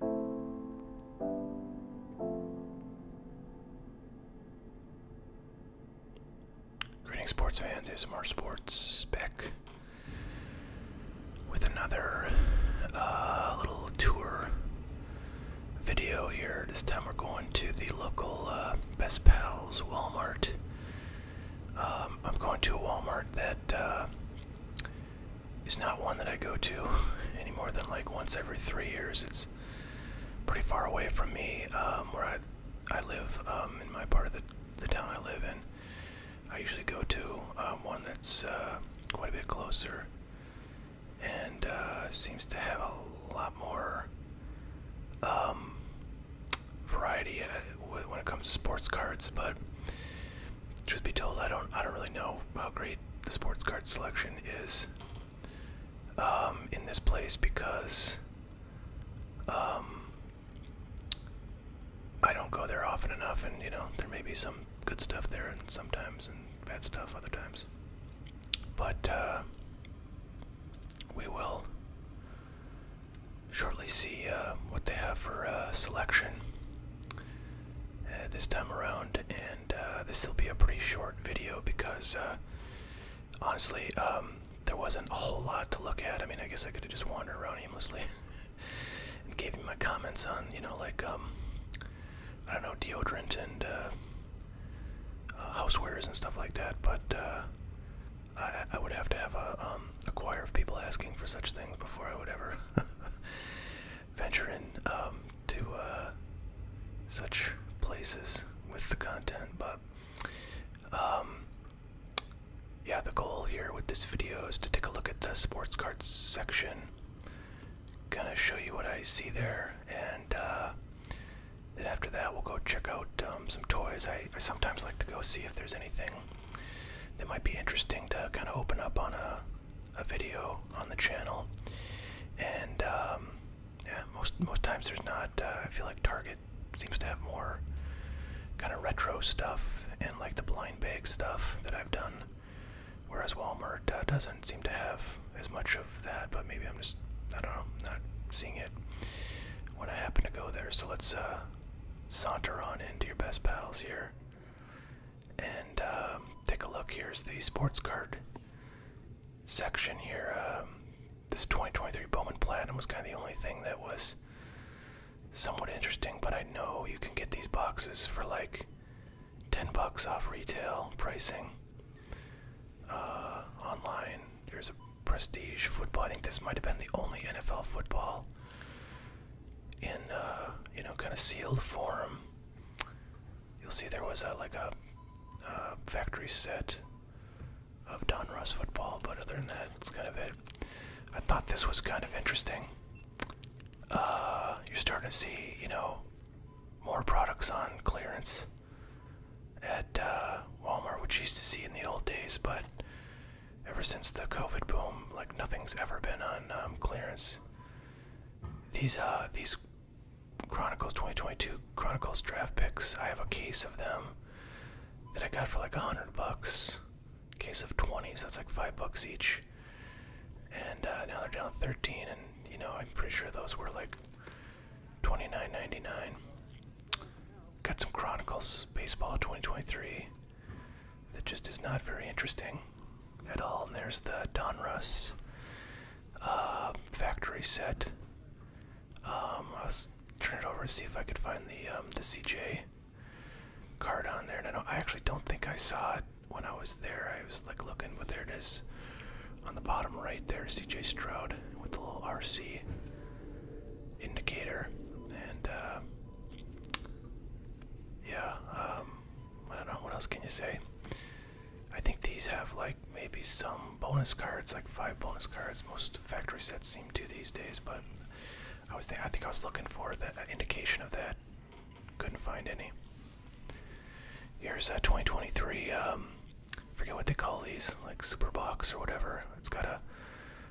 Greetings, sports fans. ASMR Sports back with another uh, little tour video here. This time we're going to the local uh, Best Pals Walmart. Um, I'm going to a Walmart that uh, is not one that I go to any more than like once every three years. It's pretty far away from me um, where I, I live um, in my part of the, the town I live in. I usually go to um, one that's uh, quite a bit closer and uh, seems to have a lot more um, variety uh, when it comes to sports cards. But should be told, I don't I don't really know how great the sports card selection is um, in this place because um, I don't go there often enough, and you know there may be some good stuff there, and sometimes and bad stuff other times. But uh, we will shortly see uh, what they have for uh, selection this time around, uh, this will be a pretty short video because uh, honestly, um, there wasn't a whole lot to look at. I mean, I guess I could have just wandered around aimlessly and gave you my comments on, you know, like, um, I don't know, deodorant and uh, housewares and stuff like that, but I, would have to have um, a choir of people asking for such things before I would ever venture in um, to uh, such places with the content, but um, yeah, the goal here with this video is to take a look at the sports cards section, kind of show you what I see there, and uh, then after that, we'll go check out um, some toys. I sometimes like to go see if there's anything that might be interesting to kind of open up on a a video on the channel, and um, yeah, most most times there's not. Uh, I feel like Target seems to have more kind of retro stuff and like the blind bag stuff that I've done, whereas Walmart uh, doesn't seem to have as much of that. But maybe I'm just I don't know not seeing it when I happen to go there. So let's uh, saunter on into your best pals here. And um, take a look. Here's the sports card section here. Um, this 2023 Bowman Platinum was kind of the only thing that was somewhat interesting, but I know you can get these boxes for like 10 bucks off retail pricing uh, online. Here's a prestige football. I think this might have been the only NFL football in, uh, you know, kind of sealed form you'll see there was a, like a, factory set of Don Ross football, but other than that, it's kind of it. I thought this was kind of interesting. Uh, you're starting to see, you know, more products on clearance at uh, Walmart, which used to see in the old days, but ever since the COVID boom, like nothing's ever been on um, clearance. These uh, these Chronicles 2022 Chronicles draft picks. I have a case of them that I got for like a hundred bucks. Case of twenty, so that's like five bucks each. And uh, now they're down 13, and you know I'm pretty sure those were like 29.99. Got some Chronicles baseball 2023 that just is not very interesting at all. And there's the Donruss uh, factory set. Um, I'll turn it over and see if I could find the um, the CJ card on there. And I, don't, I actually don't think I saw it when I was there. I was like looking, but there it is on the bottom right there. CJ Stroud with the little RC indicator. And uh, yeah, um, I don't know what else can you say. I think these have like maybe some bonus cards, like five bonus cards. Most factory sets seem to these days, but I was think I think I was looking for that uh, indication of that. Couldn't find any. Here's a uh, 2023. Um, forget what they call these, like super box or whatever. It's got a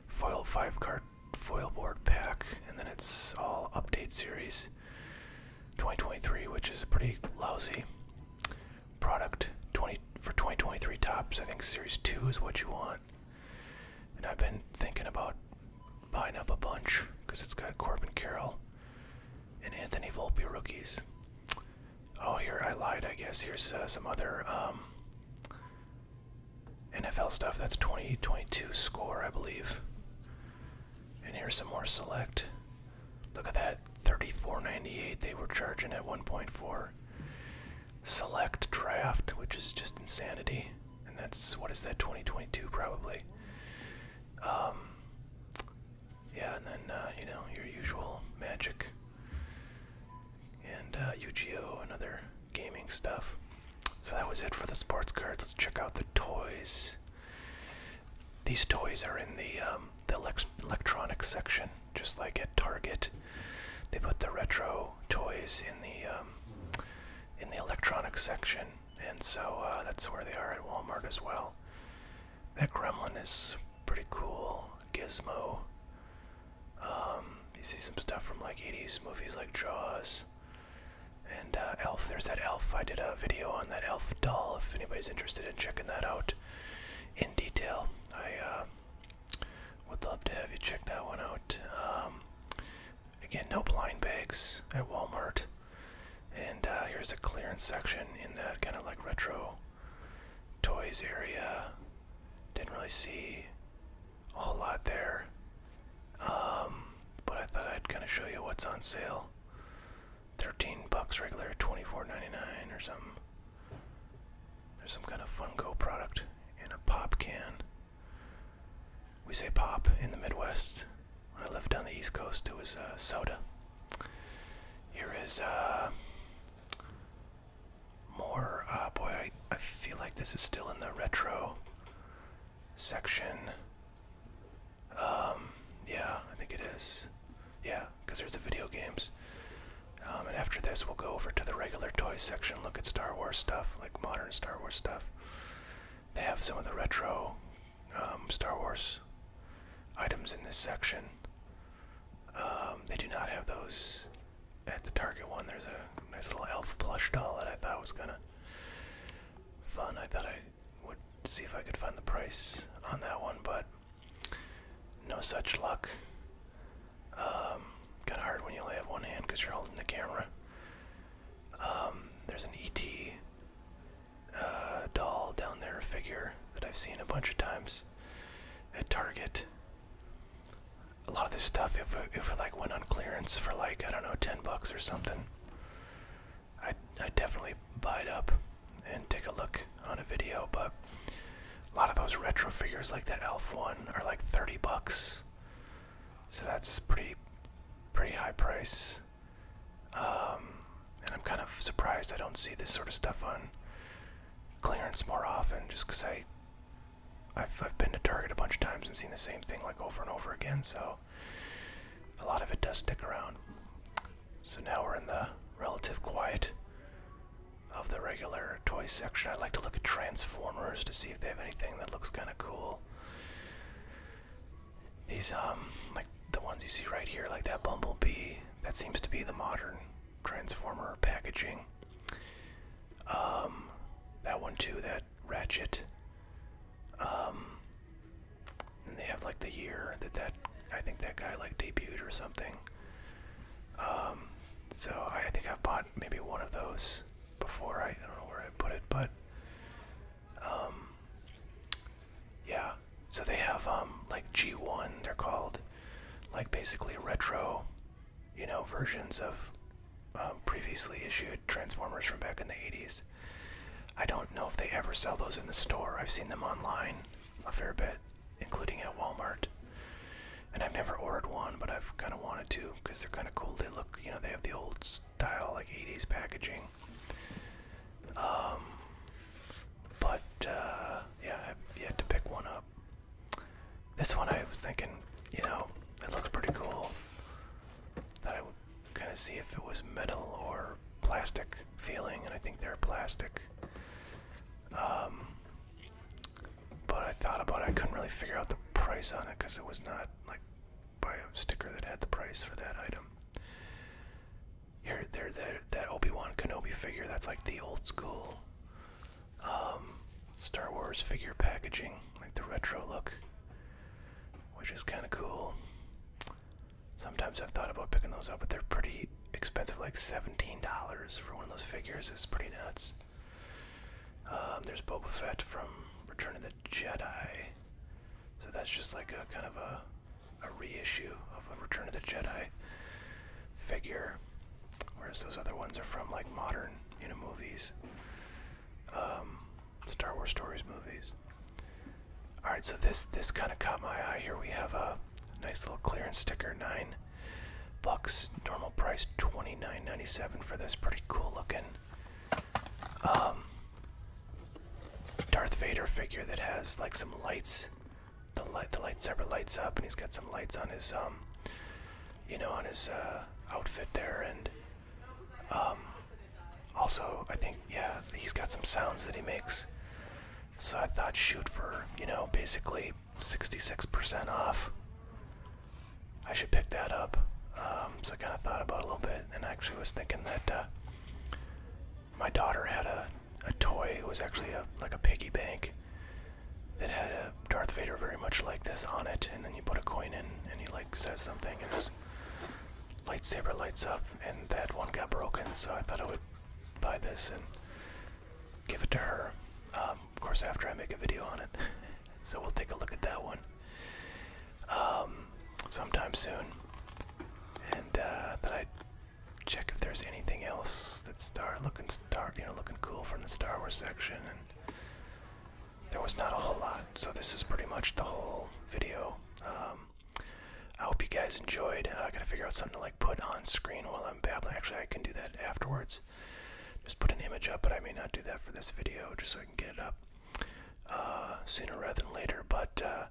foil five card foil board pack, and then it's all update series. 2023, which is a pretty lousy product. 20 for 2023 tops, I think Series 2 is what you want. And I've been thinking about buying up a bunch because it's got Corbin Carroll and Anthony Volpe rookies. Oh, here I lied. I guess here's uh, some other um, NFL stuff. That's 2022 score, I believe. And here's some more select. Look at that, 34.98 they were charging at 1.4. Select draft, which is just insanity. And that's what is that 2022 probably. Um yeah, and then uh, you know, your usual magic and uh Yu-Gi-Oh and other gaming stuff. So that was it for the sports cards. Let's check out the toys. These toys are in the um, the elect section, just like at Target. They put the retro toys in the um, in the electronics section, and so uh, that's where they are at Walmart as well. That Gremlin is pretty cool. Gizmo. Um, you see some stuff from like 80s movies like Jaws. And uh, Elf, there's that Elf. I did a video on that Elf doll. If anybody's interested in checking that out in detail, I uh, would love to have you check that one out. Um, again, no blind bags at Walmart. And uh, here's a clearance section in that kind of like retro toys area. Didn't really see a whole lot there. Um, but I thought I'd kind of show you what's on sale. 13 bucks regular, 24.99 or something. There's some kind of Funko product in a pop can. We say pop in the Midwest. When I lived on the East Coast, it was uh, soda. Here is uh, more. Uh, boy, I, I feel like this is still in the retro section. Um, yeah, I think it is. Yeah, because there's the video games. Um, and after this, we'll go over to the regular toy section, look at Star Wars stuff, like modern Star Wars stuff. They have some of the retro um, Star Wars items in this section. they do not have those at the Target one. There's a nice little elf plush doll that I thought was kind of fun. I thought I would see if I could find the price on that one, but no such luck. Um, kind of hard when you only have one hand because you're holding the camera. Um, there's an ET uh, doll down there, figure that I've seen a bunch of times at Target. A lot of this stuff, if if it like went on clearance for like I don't know, ten bucks or something, I I definitely buy it up and take a look on a video, but a lot of those retro figures like that Elf one are like 30 bucks. So that's pretty pretty high price. Um, and I'm kind of surprised I don't see this sort of stuff on clearance more often just because I I've, I've been to Target a bunch of times and seen the same thing like over and over again, so a lot of it does stick around. So now we're in the relative quiet of the regular toy section. I like to look at Transformers to see if they have anything that looks kind of cool. These, um, like the ones you see right here, like that Bumblebee, that seems to be the modern Transformer packaging. Um, that one too, that Ratchet. Um, and they have like the year that that I think that guy like debuted or something. Um, so I think I bought maybe one of those before. I, don't know where I put it, but um, yeah. So they have um, like G1. They're called like basically retro, you know, versions of previously issued Transformers from back in the 80s. I don't know if they ever sell those in the store. I've seen them online a fair bit, including at Walmart. And I've never ordered one, but I've kind of wanted to because they're kind of cool. They look, you know, they have the old style, like 80s packaging. Um, but, uh, yeah, I've to pick one up. This one I was thinking, you know, it looks pretty cool. That I would kind of see if it was metal or plastic feeling, and I think they're plastic. Um, but I thought about it. I couldn't really figure out the price on it because it was not like by a sticker that had the price for that item. Here, there, that Obi-Wan Kenobi figure. That's like the old school um, Star Wars figure packaging, like the retro look, which is kind of cool. Sometimes I've thought about picking those up, but they're pretty expensive, like $17 for one of those figures is pretty nuts. Um, there's Boba Fett from Return of the Jedi. So that's just like a kind of a, reissue of a Return of the Jedi figure. Whereas those other ones are from like modern, you know, movies. Um, Star Wars stories movies. All right, so this this kind of caught my eye here. We have a nice little clearance sticker, nine bucks, normal price twenty nine ninety seven for this. Pretty cool looking um, Darth Vader figure that has like some lights. The light the lightsaber lights up, and he's got some lights on his um, you know, on his uh, outfit there, and um, also I think yeah, he's got some sounds that he makes. So I thought, shoot for, you know, basically 66% off. I should pick that up. Um, so I kind of thought about it a little bit and actually was thinking that uh, my daughter had a, a toy. It was actually a, like a piggy bank that had a Darth Vader very much like this on it. And then you put a coin in and he like says something and his lightsaber lights up and that one got broken. So I thought I would buy this and give it to her. Um, of course, after I make a video on it. so we'll take a look at that one um, sometime soon. And uh, I check if there's anything else that's star looking star you know looking cool from the Star Wars section and there was not a whole lot so this is pretty much the whole video um, I hope you guys enjoyed. Uh, I gotta figure out something to like put on screen while I'm babbling. Actually, I can do that afterwards. Just put an image up, but I may not do that for this video, just so I can get it up uh, sooner rather than later. But uh,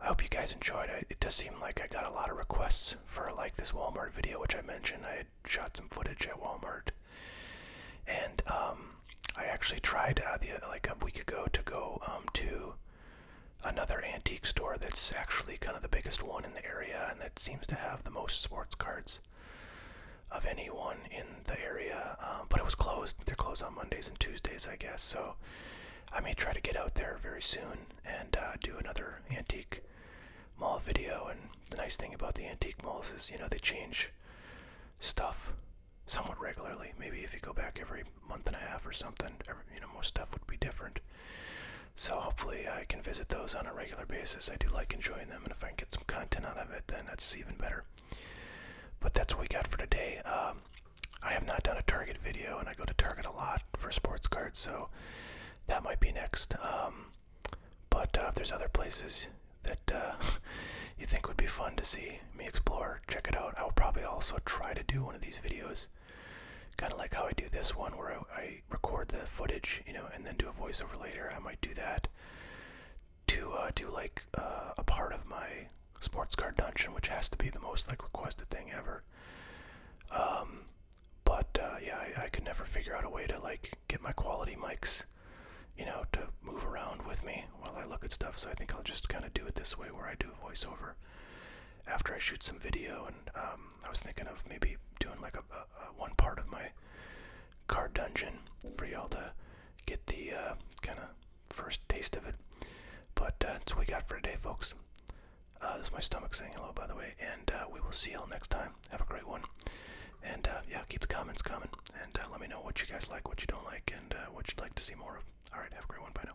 I hope you guys enjoyed. I, it does seem like I got a lot of requests for like this Walmart video, which I mentioned. I had shot some footage at Walmart, and um, I actually tried uh, like a week ago to go um, to another antique store that's actually kind of the biggest one in the area and that seems to have the most sports cards of anyone in the area. Um, but it was closed. They're closed on Mondays and Tuesdays, I guess. So I may try to get out there very soon and uh, do another antique mall video. And the nice thing about the antique malls is, you know, they change stuff somewhat regularly. Maybe if you go back every month and a half or something. you know, most stuff would be different. So hopefully I can visit those on a regular basis. I do like enjoying them, and if I can get some content out of it, then that's even better. But that's what we got for today. Um, I have not done a Target video, and I go to Target a lot for sports cards, so that might be next. Um, but uh, if there's other places that uh, you think would be fun to see me explore, check it out. I will probably also try to do one of these videos Kind of like how I do this one where I, record the footage, you know, and then do a voiceover later. I might do that to uh, do like uh, a part of my sports car dungeon, which has to be the most like requested thing ever. Um, but uh, yeah, I, I could never figure out a way to like get my quality mics, you know, to move around with me while I look at stuff. So I think I'll just kind of do it this way where I do a voiceover after I shoot some video. And um, I was thinking of maybe doing like a, one part of my car dungeon for y'all to get the uh, kind of first taste of it. But uh, that's what we got for today, folks. Uh, this is my stomach saying hello, by the way. And uh, we will see y'all next time. Have a great one. And yeah, keep the comments coming. And let me know what you guys like, what you don't like, and what you'd like to see more of. All right, have a great one. Bye now.